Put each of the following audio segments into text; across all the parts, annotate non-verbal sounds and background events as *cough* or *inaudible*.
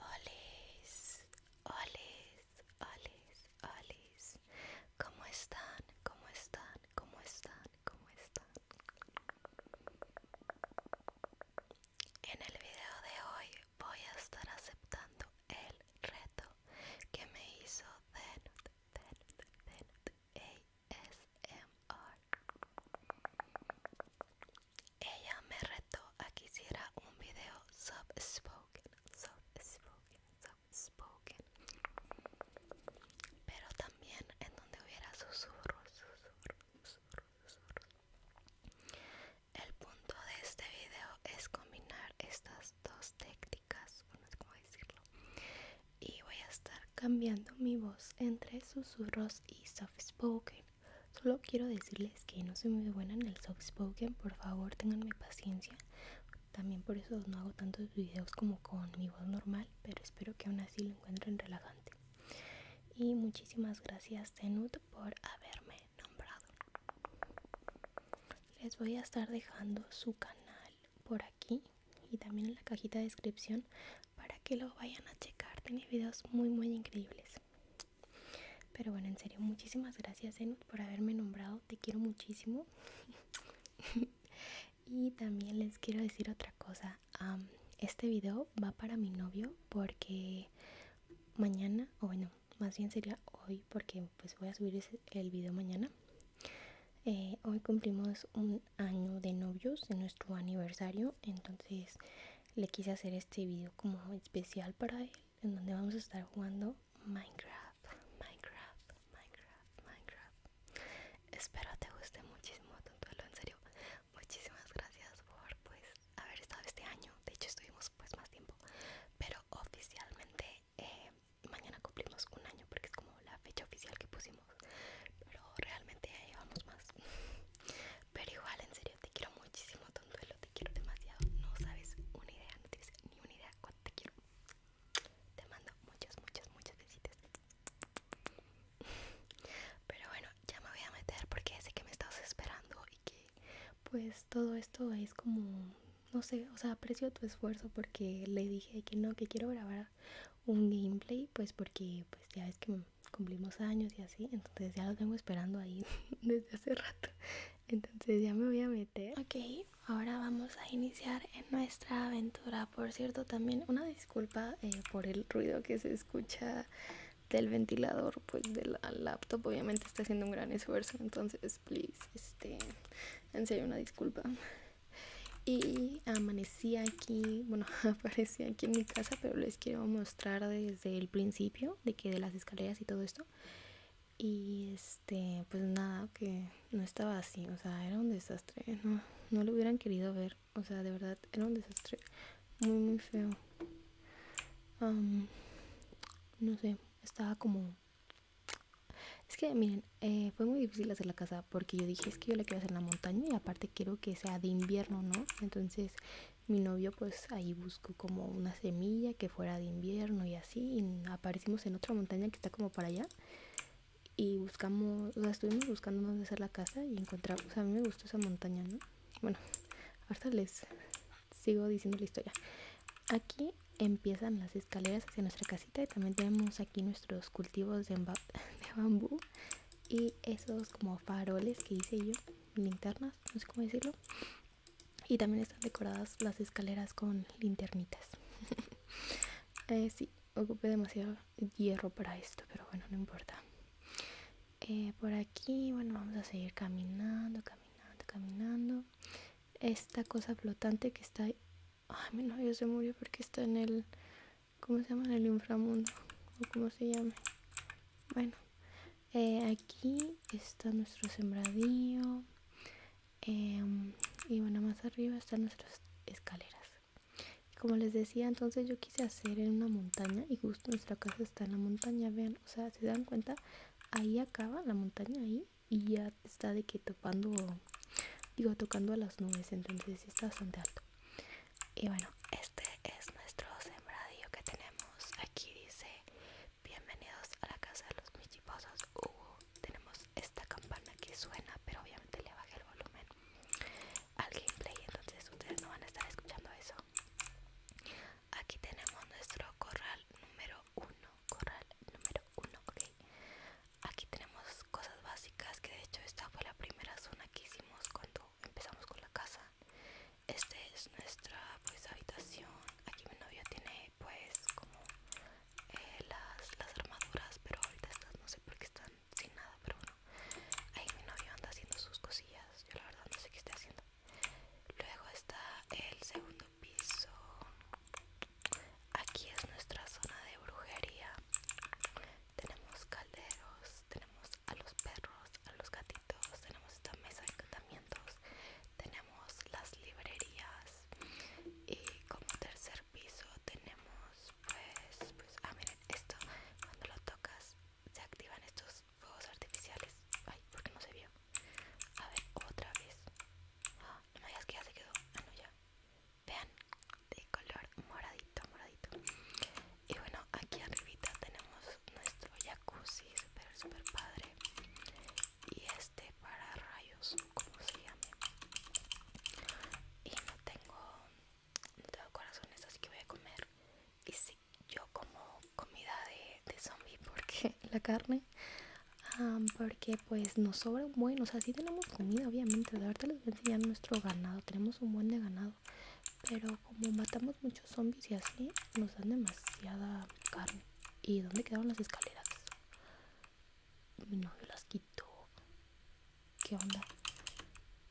Olis, olis, olis, olis. ¿Cómo están? ¿Cómo están? ¿Cómo están? ¿Cómo están? En el video de hoy voy a estar aceptando el reto que me hizo Denut, ASMR. Ella me retó a que hiciera un video subspoken, subspoken, subspoken, pero también en donde hubiera susurros, susurros, susurros, El punto de este video es combinar estas dos técnicas, no es cómo decirlo, y voy a estar cambiando mi voz entre susurros y soft spoken. Solo quiero decirles que no soy muy buena en el soft spoken, por favor tengan mi paciencia. También por eso no hago tantos videos como con mi voz normal, pero espero que aún así lo encuentren relajante. Y muchísimas gracias Tenut por haberme nombrado. Les voy a estar dejando su canal por aquí y también en la cajita de descripción para que lo vayan a checar. Tiene videos muy muy increíbles. Pero bueno, en serio, muchísimas gracias Zenut por haberme nombrado, te quiero muchísimo. *laughs* y también les quiero decir otra cosa, este video va para mi novio porque mañana, o bueno, más bien sería hoy porque pues voy a subir el video mañana. Eh, hoy cumplimos un año de novios, de nuestro aniversario, entonces le quise hacer este video como especial para él en donde vamos a estar jugando Minecraft, Minecraft, Minecraft, Minecraft. Espero te guste muchísimo, Tontuelo, en serio. Muchísimas gracias por pues haber estado este año. De hecho estuvimos pues más tiempo, pero oficialmente eh, mañana cumplimos un año porque es como la fecha oficial que pusimos, pero realmente ya llevamos más. Pero igual, en serio, te quiero muchísimo, tontuelo, te quiero demasiado. No sabes una idea, no tienes ni una idea cuánto te quiero. Te mando muchas, muchas, muchas besitos Pero bueno, ya me voy a meter porque sé que me estás esperando y que pues todo esto es como, no sé, o sea, aprecio tu esfuerzo porque le dije que no, que quiero grabar un gameplay, pues porque pues ya ves que cumplimos años y así, entonces ya lo tengo esperando ahí *laughs* desde hace rato. Entonces ya me voy a meter. Ok, ahora vamos a iniciar en nuestra aventura. Por cierto, también una disculpa eh, por el ruido que se escucha del ventilador, pues de la laptop. Obviamente está haciendo un gran esfuerzo, entonces, please, este, en serio, una disculpa. Y amanecí aquí, bueno, *laughs* aparecí aquí en mi casa, pero les quiero mostrar desde el principio de que de las escaleras y todo esto. Y este, pues nada, que no estaba así, o sea, era un desastre, no, lo hubieran querido ver, o sea, de verdad, era un desastre muy, muy feo. no sé, estaba como... Es que, miren, eh, fue muy difícil hacer la casa porque yo dije, es que yo la quiero hacer en la montaña y aparte quiero que sea de invierno, ¿no? Entonces mi novio pues ahí buscó como una semilla que fuera de invierno y así y aparecimos en otra montaña que está como para allá y buscamos, o estuvimos buscándonos hacer la casa y encontramos, a mí me gustó esa montaña, ¿no? Bueno, ahorita les sigo diciendo la historia. Aquí empiezan las escaleras hacia nuestra casita y también tenemos aquí nuestros cultivos de, de bambú y esos como faroles que hice yo, linternas, no sé cómo decirlo, y también están decoradas las escaleras con linternitas *laughs* eh, sí ocupé demasiado hierro para esto pero bueno no importa eh, por aquí bueno vamos a seguir caminando caminando caminando esta cosa flotante que está ahí. ay mi novio se murió porque está en el cómo se llama en el inframundo o como se llama bueno eh, aquí está nuestro sembradío em, y bueno más arriba están nuestras escaleras como les decía entonces yo quise hacer en una montaña y justo nuestra casa está en la montaña vean o sea se dan cuenta ahí acaba la montaña ahí y ya está de que tocando digo tocando a las nubes entonces está bastante alto y bueno este es nuestro sembradío que tenemos aquí dice Bienvenidos a la casa de los michiposos uh, tenemos esta campana que suena pero obviamente le bajé el volumen al gameplay entonces ustedes no van a estar escuchando eso Aquí tenemos nuestro corral número 1 Corral número uno ok Aquí tenemos cosas básicas que de hecho esta fue la primera zona que hicimos cuando empezamos con la casa esta es nuestra pues habitación. Aquí mi novio tiene pues como eh, las, armaduras, pero ahorita estas no sé por qué están sin nada, pero bueno. Ahí mi novio anda haciendo sus cosillas. Yo la verdad no sé qué está haciendo. Luego está el segundo piso. Aquí es nuestra zona de brujería. Tenemos calderos, tenemos a los perros, a los gatitos, tenemos esta mesa de encantamientos, tenemos las librerías y como tercer piso tenemos pues, pues ah miren esto cuando lo tocas se activan estos fuegos artificiales ay porque no se vio a ver otra vez no me digas que ya se quedó ah no ya vean de color moradito moradito y bueno aquí arribita tenemos nuestro jacuzzi super super padre y este para rayos como se llama y no tengo no corazones así que voy a comer y sí yo como comida de, de zombie porque *laughs* la carne ah, porque pues nos sobra un buen o sea tenemos comida obviamente de verdad les voy a nuestro ganado tenemos un buen de ganado pero como matamos muchos zombies y así nos dan demasiada carne ¿Y dónde quedaron las escaleras? Mi novio las quitó. ¿Qué onda?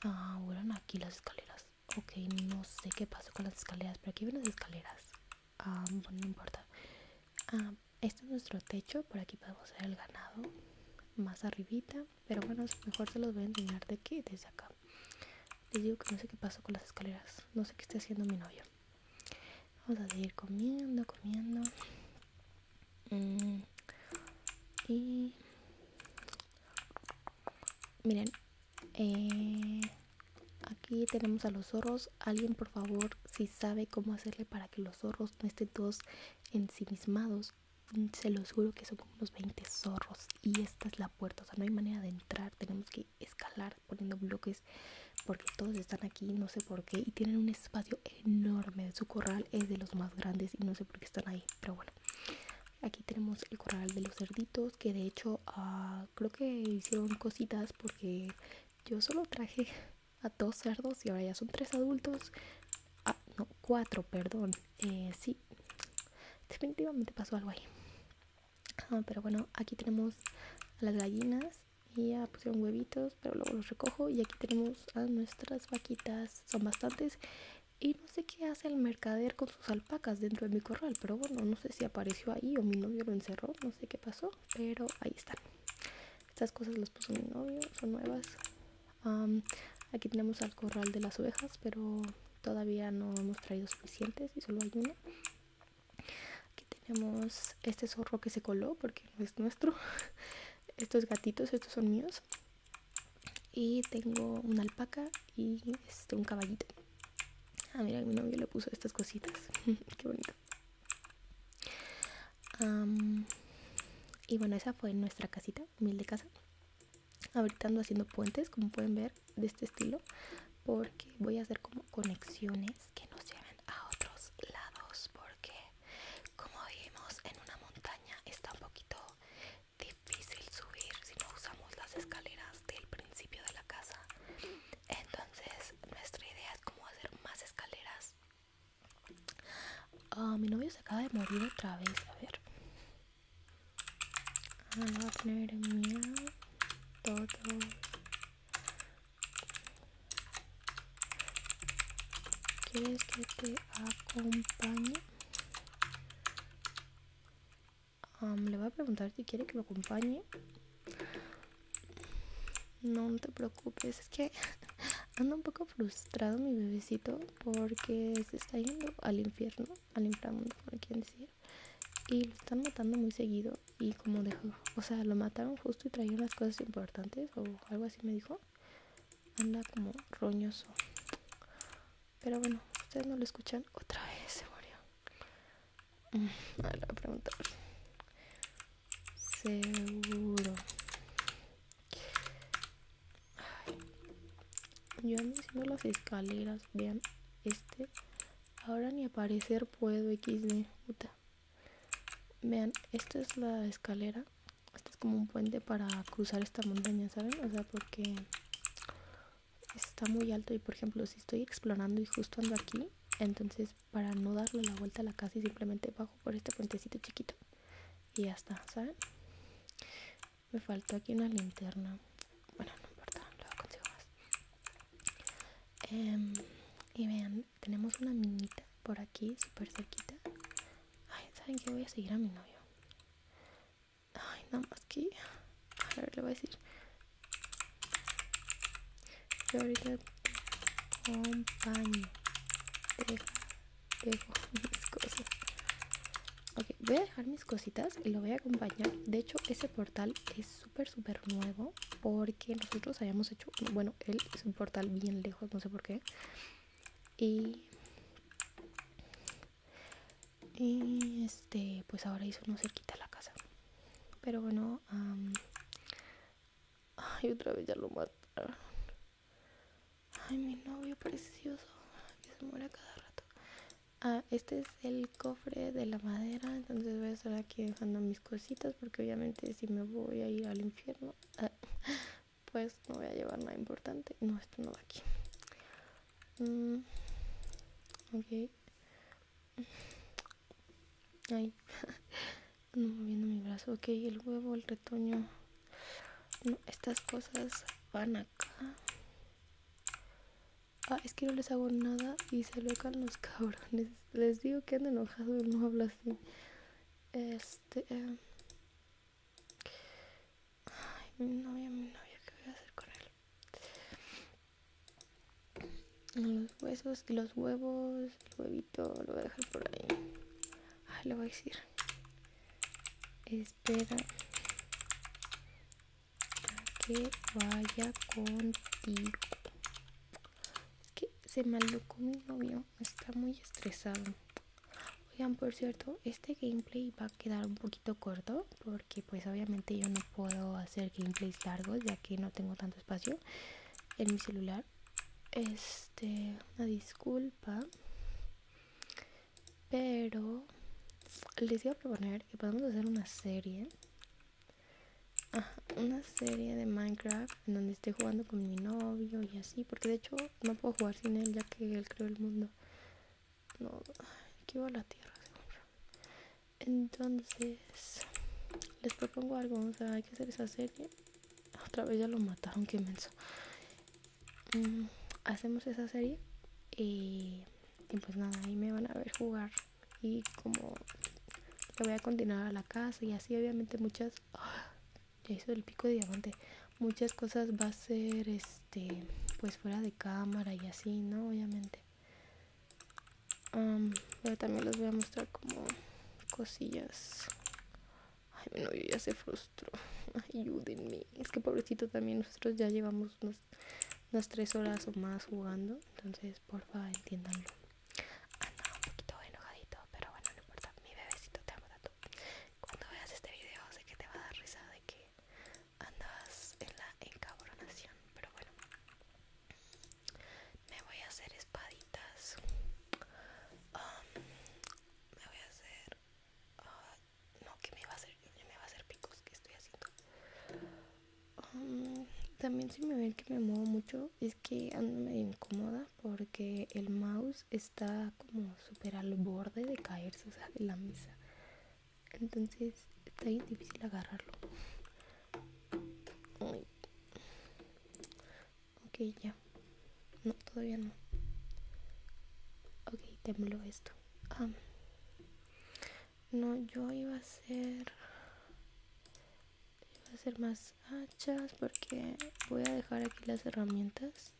Ah, bueno aquí las escaleras. Ok, no sé qué pasó con las escaleras, pero aquí ven las escaleras. Ah, bueno, no importa. Ah, este es nuestro techo, por aquí podemos ver el ganado. Más arribita, pero bueno, mejor se los voy a enseñar de qué desde acá. Les digo que no sé qué pasó con las escaleras. No sé qué está haciendo mi novio vamos a seguir comiendo comiendo mm. y miren eh, aquí tenemos a los zorros alguien por favor si sabe cómo hacerle para que los zorros no estén todos ensimismados mm, se los juro que son como unos 20 zorros y esta es la puerta, o sea, no hay manera de entrar, tenemos que escalar poniendo bloques porque todos están aquí, no sé por qué, y tienen un espacio enorme. Su corral es de los más grandes y no sé por qué están ahí, pero bueno. Aquí tenemos el corral de los cerditos que de hecho ah, creo que hicieron cositas porque yo solo traje a dos cerdos y ahora ya son tres adultos. Ah, no, cuatro, perdón. Eh, sí, definitivamente pasó algo ahí. Ah, pero bueno aquí tenemos a las gallinas y ya pusieron huevitos pero luego los recojo y aquí tenemos a nuestras vaquitas son bastantes y no sé qué hace el mercader con sus alpacas dentro de mi corral pero bueno no sé si apareció ahí o mi novio lo encerró no sé qué pasó pero ahí están estas cosas las puso mi novio son nuevas aquí tenemos al corral de las ovejas pero todavía no hemos traído suficientes y solo hay una Aquí tenemos este zorro que se coló porque no es nuestro. *laughs* Estos gatitos, estos son míos. Y tengo una alpaca y este, un caballito. Ah, mira, mi novio le puso estas cositas. *laughs* Qué bonito. y bueno, esa fue nuestra casita, humilde casa. Ahorita haciendo puentes, como pueden ver de este estilo porque voy a hacer como conexiones que nos lleven a otros lados porque como vimos en una montaña está un poquito difícil subir si no usamos las escaleras del principio de la casa entonces nuestra idea es como hacer más escaleras ah, mi novio se acaba de morir otra vez a ver ah, todo ¿Quieres que te acompañe? le voy a preguntar si quiere que lo acompañe. No, te preocupes, es que *laughs* anda un poco frustrado mi bebecito porque se está yendo al infierno, al inframundo, como quieren decir y lo están matando muy seguido y como dejó o sea lo mataron justo y traían las cosas importantes o algo así me dijo anda como roñoso pero bueno ustedes no lo escuchan otra vez se murió mm, *laughs* seguro yo ando las escaleras vean este Ahora ni aparecer puedo, XD. Puta. Vean, esta es la escalera. Este es como un puente para cruzar esta montaña, ¿saben? O sea, porque está muy alto y, por ejemplo, si estoy explorando y justo ando aquí, entonces para no darle la vuelta a la casa simplemente bajo por este puentecito chiquito y ya está, ¿saben? Me faltó aquí una linterna. Bueno, no importa, luego consigo más. Em, y vean tenemos una minita por aquí súper sequita ay saben que voy a seguir a mi novio ay nada más que a ver le voy a decir yo ahorita acompaño dejo *laughs* mis cosas ok voy a dejar mis cositas y lo voy a acompañar de hecho ese portal es super super nuevo porque nosotros hayamos hecho bueno él es un portal bien lejos no sé por qué y, y este pues ahora hizo no se quita la casa pero bueno ay otra vez ya lo mataron ay mi novio precioso que se muere cada rato ah, este es el cofre de la madera entonces voy a estar aquí dejando mis cositas porque obviamente si me voy a ir al infierno, *laughs* pues no voy a llevar nada importante. No, esto no va aquí. Mm, Ay, *laughs* moviendo mi brazo. Ok, el huevo, el retoño. estas cosas van acá. Ah, es que no les hago nada y se locan los *laughs* cabrones. Les digo que ando enojado, y no habla así. Este. Em, ay, mi novia, mi novia, ¿qué voy a hacer con él? Los huesos y los huevos, el huevito, lo voy a dejar por ahí. le lo voy a decir. Espera que vaya contigo que se malucó mi novio, está muy estresado. Oigan, por cierto, este gameplay va a quedar un poquito corto porque pues obviamente yo no puedo hacer gameplays largos ya que no tengo tanto espacio en mi celular. Este, una disculpa. Pero les voy a proponer que podamos hacer una serie una serie de Minecraft en donde esté jugando con mi novio y así, porque de hecho no puedo jugar sin él ya que él creó el mundo. No, aquí va la tierra, Entonces, les propongo algo, hay que hacer esa serie. Otra vez ya lo mataron, que inmenso mm, hacemos esa serie y pues nada, ahí me van a ver jugar y como lo voy a continuar a la casa y así obviamente muchas ¡ah! ya hizo el pico de diamante muchas cosas va a ser este pues fuera de cámara y así no obviamente pero también les voy a mostrar como cosillas ay mi novio ya se frustró ayúdenme es que pobrecito también nosotros ya llevamos unas tres horas o más jugando entonces porfa entiéndanlo andaba un poquito enojadito, pero bueno, no importa. Mi bebecito te amo tanto. Cuando veas este video, sé que te va a dar risa de que andas en la encabronación, pero bueno. Me voy a hacer espaditas. Um, me voy a hacer. Ah, no, que me va a hacer. Me va a hacer picos que estoy haciendo. Um, también si me ven que me muevo mucho, es que ando medio incómoda porque el mouse está como super al borde de caerse, o sea, de la mesa. Entonces está bien difícil agarrarlo. Ok, ya. No, todavía no. Ok, tembló esto. Ah. no, yo iba a hacer voy a hacer más hachas porque voy a dejar aquí las herramientas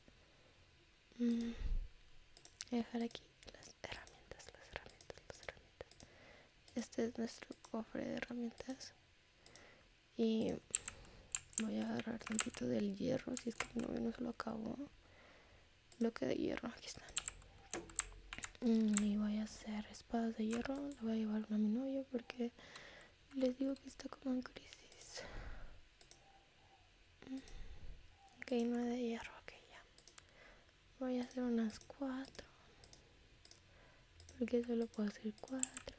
mm, voy a dejar aquí las herramientas las herramientas las herramientas este es nuestro cofre de herramientas y voy a agarrar tantito del hierro si es que no, no se lo lo bloque de hierro aquí están mm, y voy a hacer espadas de hierro le voy a llevar una a mi porque les digo que está como en crisis. Mm. Ok, no de hierro, ok, ya. Voy a hacer unas cuatro. Porque solo puedo hacer cuatro.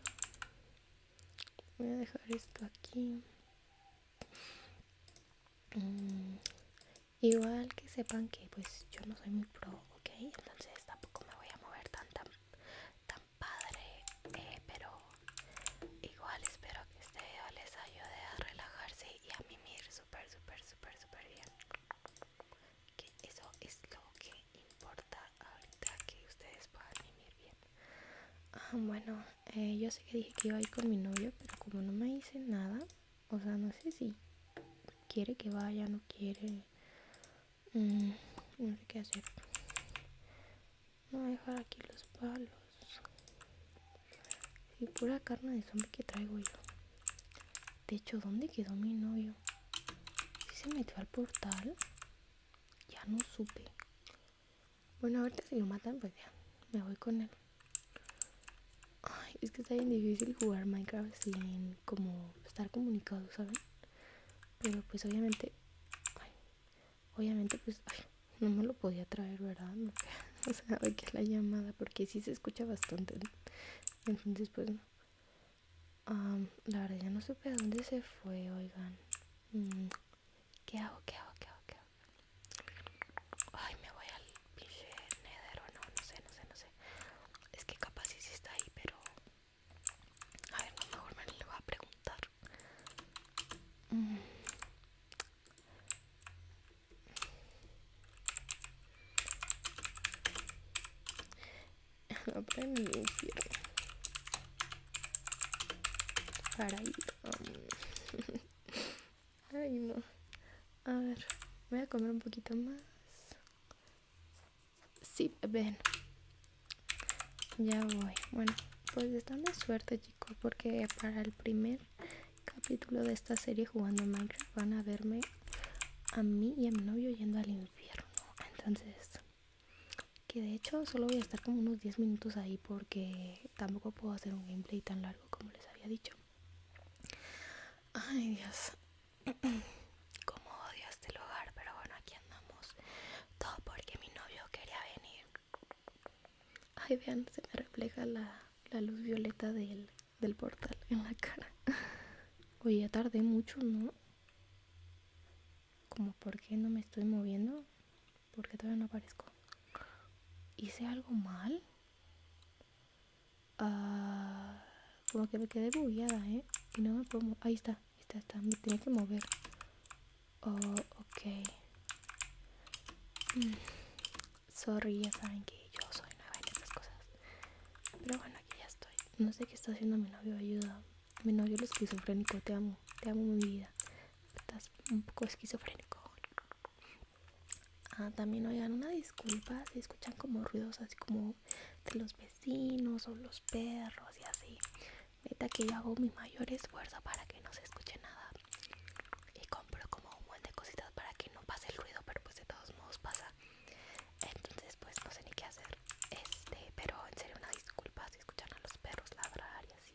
Voy a dejar esto aquí. Mm. Igual que sepan que pues yo no soy muy pro ok. Entonces tampoco me voy a mover tan tan, tan padre, eh, pero igual espero que este video les ayude a relajarse y a mimir súper, super super super bien. Que eso es lo que importa ahorita que ustedes puedan mimir bien. Ah, bueno, eh, yo sé que dije que iba a ir con mi novio, pero como no me dice nada, o sea, no sé si quiere que vaya, no quiere. Mm, no sé qué hacer. Voy a dejar aquí los palos. Y pura carne de zombie que traigo yo. De hecho, ¿dónde quedó mi novio? si se metió al portal? Ya no supe. Bueno, ahorita si lo matan, pues ya. Me voy con él. Ay, es que está bien difícil jugar Minecraft sin como estar comunicado, ¿saben? pero pues obviamente obviamente pues no me lo podía traer verdad no, o sea que la llamada porque sí se escucha bastante entonces pues no la verdad ya no supe a dónde se fue oigan mm, qué hago qué hago qué hago qué hago ay me voy al pinche nether o no no sé no sé no sé es que capaz sí está ahí pero a ver, no, mejor me lo voy a preguntar. Mm. *laughs* para um, *laughs* Ay, no. A ver, voy a comer un poquito más si ven. Ya voy. Bueno, pues están de suerte, chicos, porque para el primer capítulo de esta serie jugando Minecraft van a verme a mí y a mi novio yendo al infierno. Entonces, que de hecho solo voy a estar como unos 10 minutos ahí porque tampoco puedo hacer un gameplay tan largo como les había dicho. Ay, Dios. *coughs* Como odio este lugar, pero bueno, aquí andamos. Todo porque mi novio quería venir. Ay, vean, se me refleja la, luz violeta del, portal en la cara. *laughs* Oye, ya tardé mucho, ¿no? Como, porque no me estoy moviendo? Porque todavía no aparezco. ¿Hice algo mal? Ah, como que me quedé bugueada, ¿eh? Y no me puedo... Ahí está. Esta está, me tiene que mover. Oh, ok. Mm. Sorry, ya saben que yo soy nueva en estas cosas. Pero bueno, aquí ya estoy. No sé qué está haciendo mi novio, ayuda. Mi novio es esquizofrénico, te amo. Te amo mi vida. Estás un poco esquizofrénico. Ah, también oigan una disculpa si escuchan como ruidos así como de los vecinos o los perros y así. meta que yo hago mi mayor esfuerzo para que no se escuche nada. Y compro como un montón de cositas para que no pase el ruido, pero pues de todos modos pasa. Entonces pues no sé ni qué hacer. Este, pero en serio una disculpa si escuchan a los perros ladrar y así.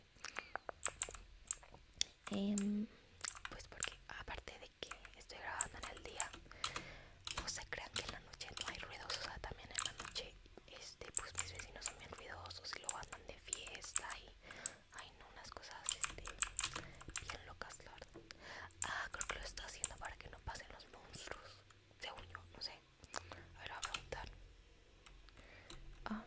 Em, pues porque aparte de que estoy grabando en el día no se crean que en la noche no hay ruidos, o sea, también en la noche, este, pues mis vecinos son bien ruidosos y luego andan de fiesta y, hay unas cosas, este, bien locas, la Ah, creo que lo está haciendo para que no pasen los monstruos, de yo, no sé. A ver, a preguntar. Ah.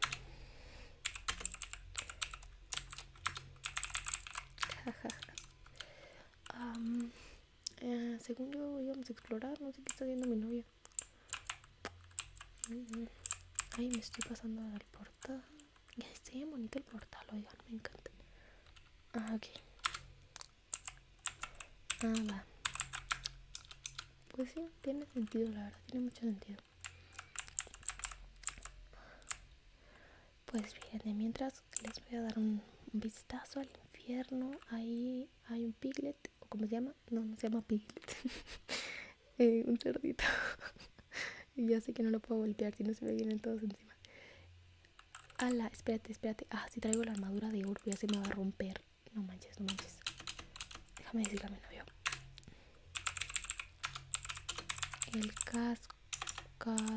*laughs* um, eh, según yo íbamos a explorar, no sé qué está haciendo mi novia. Ay, me estoy pasando al portal. Ya está bien bonito el portal, oigan, me encanta. Ah, ok. Ah, Pues sí, tiene sentido, la verdad, tiene mucho sentido. Pues bien, mientras les voy a dar un vistazo al infierno. Ahí hay un piglet, o como se llama, no, no se llama piglet, *laughs* eh, un cerdito. *laughs* y ya sé que no lo puedo golpear si no se me vienen todos encima. Ala, espérate, espérate. Ah, si traigo la armadura de oro, ya se me va a romper. No manches, no manches. Déjame decirle a mi novio. El casco, casco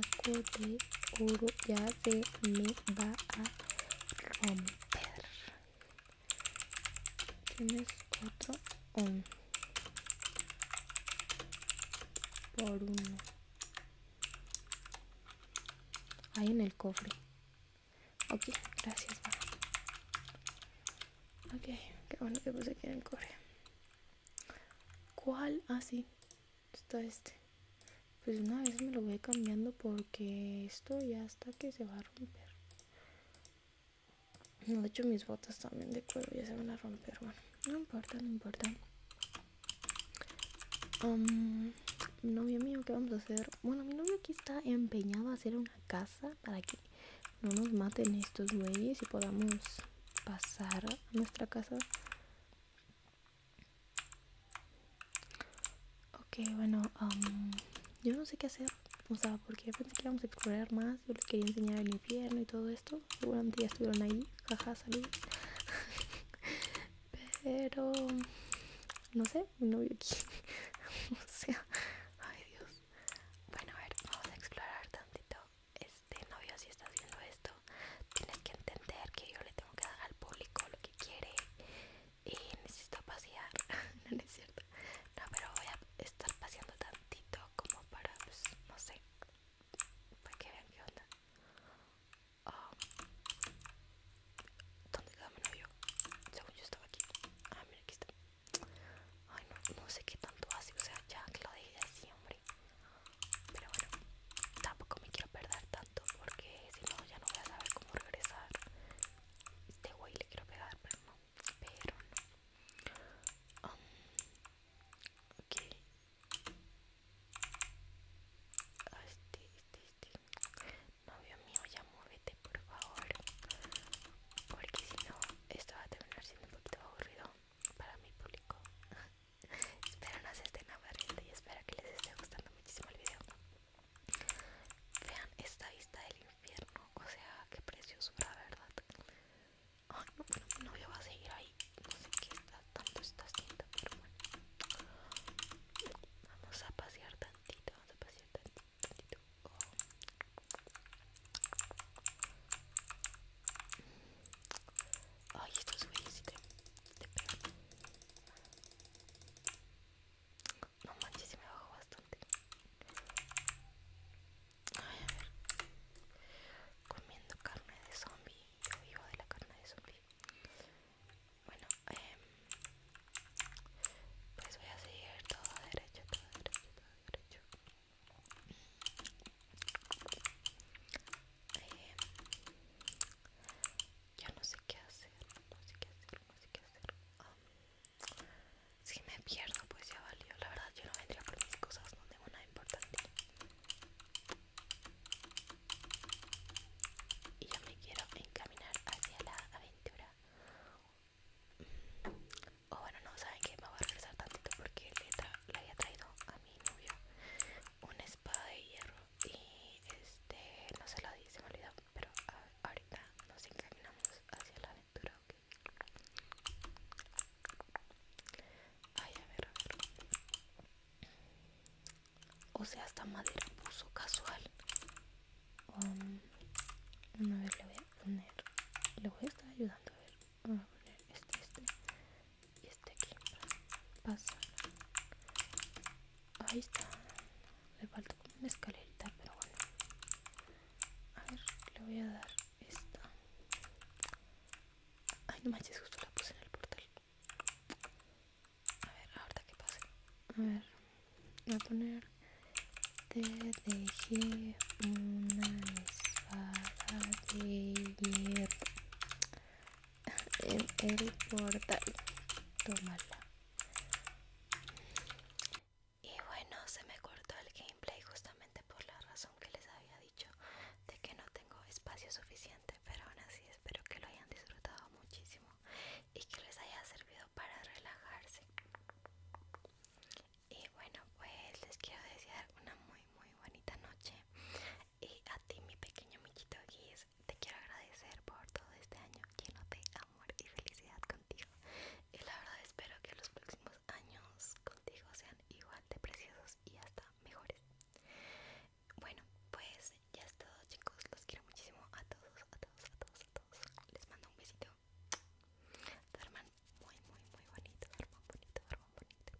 de oro ya se me va a romper. Tienes otro Por uno. Ahí en el cofre. Ok, gracias. okay Ok, qué bueno que puse aquí en el cofre. ¿Cuál? así ah, está este pues una vez me lo voy cambiando porque esto ya está que se va a romper de hecho mis botas también de cuero ya se van a romper bueno no importa no importa no mi novio mío qué vamos a hacer bueno mi novio aquí está empeñado a hacer una casa para que no nos maten estos güeyes y podamos pasar a nuestra casa Ok, bueno, um, yo no sé qué hacer. O sea, porque pensé que íbamos a explorar más. Yo les quería enseñar el infierno y todo esto. Seguramente ya estuvieron ahí. Jaja, salí *laughs* Pero. No sé, mi novio aquí. *laughs* o sea. Ay, Dios. Bueno, a ver, vamos a explorar tantito. Este novio, si estás viendo esto, tienes que entender que yo le tengo que dar al público lo que quiere y necesito pasear *laughs* no, es cierto no pero voy a estar paseando tantito como para pues, no sé para que vean qué onda ah, ¿Dónde quedó mi novio? Según yo estaba aquí. Ah, mira, aquí está. Ay, no, no sé qué tanto hace. O sea, ya que lo dejé así, hombre. Pero bueno, tampoco me quiero perder tanto porque si no ya no voy a saber cómo regresar. Este güey le quiero pegar, pero no. Pero no. Um, ok. Ah, este, este, este, Novio mío, ya muévete, por favor. Porque si no, esto va a terminar siendo un poquito aburrido para mi público. *laughs* espero no se estén aburriendo y espero que les esté gustando muchísimo el video. Vean esta vista del infierno, o sea, qué la ¿verdad? Ay, no, bueno, mi a seguir ahí. No sé qué tanto está haciendo pero bueno. Vamos a pasear tantito, vamos a pasear tantito. Ay, esto es no manches, me bajo bastante. a ver. Comiendo carne de zombie. Yo vivo de la carne de zombie. Bueno, em, pues voy a seguir todo derecho, todo derecho, todo derecho. Em, ya no sé qué hacer, no qué hacer, no qué hacer. si me pierdo, pues ya valió. La verdad, yo no vendría por mis cosas, no tengo nada importante. Y yo me quiero encaminar hacia la aventura. O bueno, no saben que me voy a regresar tantito porque le había traído a mi novio una espada de hierro y este no se la di, se me olvidó pero ah, ahorita nos encaminamos hacia la aventura, ok. Ay, a ver, a ver. O sea, esta madera puso casual. Um, una vez le voy a poner, le voy a estar ayudando a ver. vamos a poner este, este y este aquí. pasar Ahí está. Le falta como una escalerita, pero bueno. A ver, le voy a dar esta. Ay, no manches, justo la puse en el portal. A ver, ahorita que pase. A ver, voy a poner. Te dejé una espada de hierro en el portal. Tómala. Y bueno, se me cortó el gameplay justamente por la razón que les había dicho de que no tengo espacio suficiente, pero aún así espero que lo hayan disfrutado muchísimo y que les haya servido para relajarse. Y bueno, pues les quiero desear una muy muy bonita noche y a ti mi pequeño miquito Guis te quiero agradecer por todo este año lleno de amor y felicidad contigo. Y la verdad espero que los próximos años contigo sean igual de preciosos y hasta mejores. Bueno, pues ya es todo chicos. Los quiero muchísimo a todos, a todos, a todos, a todos. Les mando un besito. muy, muy, muy bonito. bonito, bonito.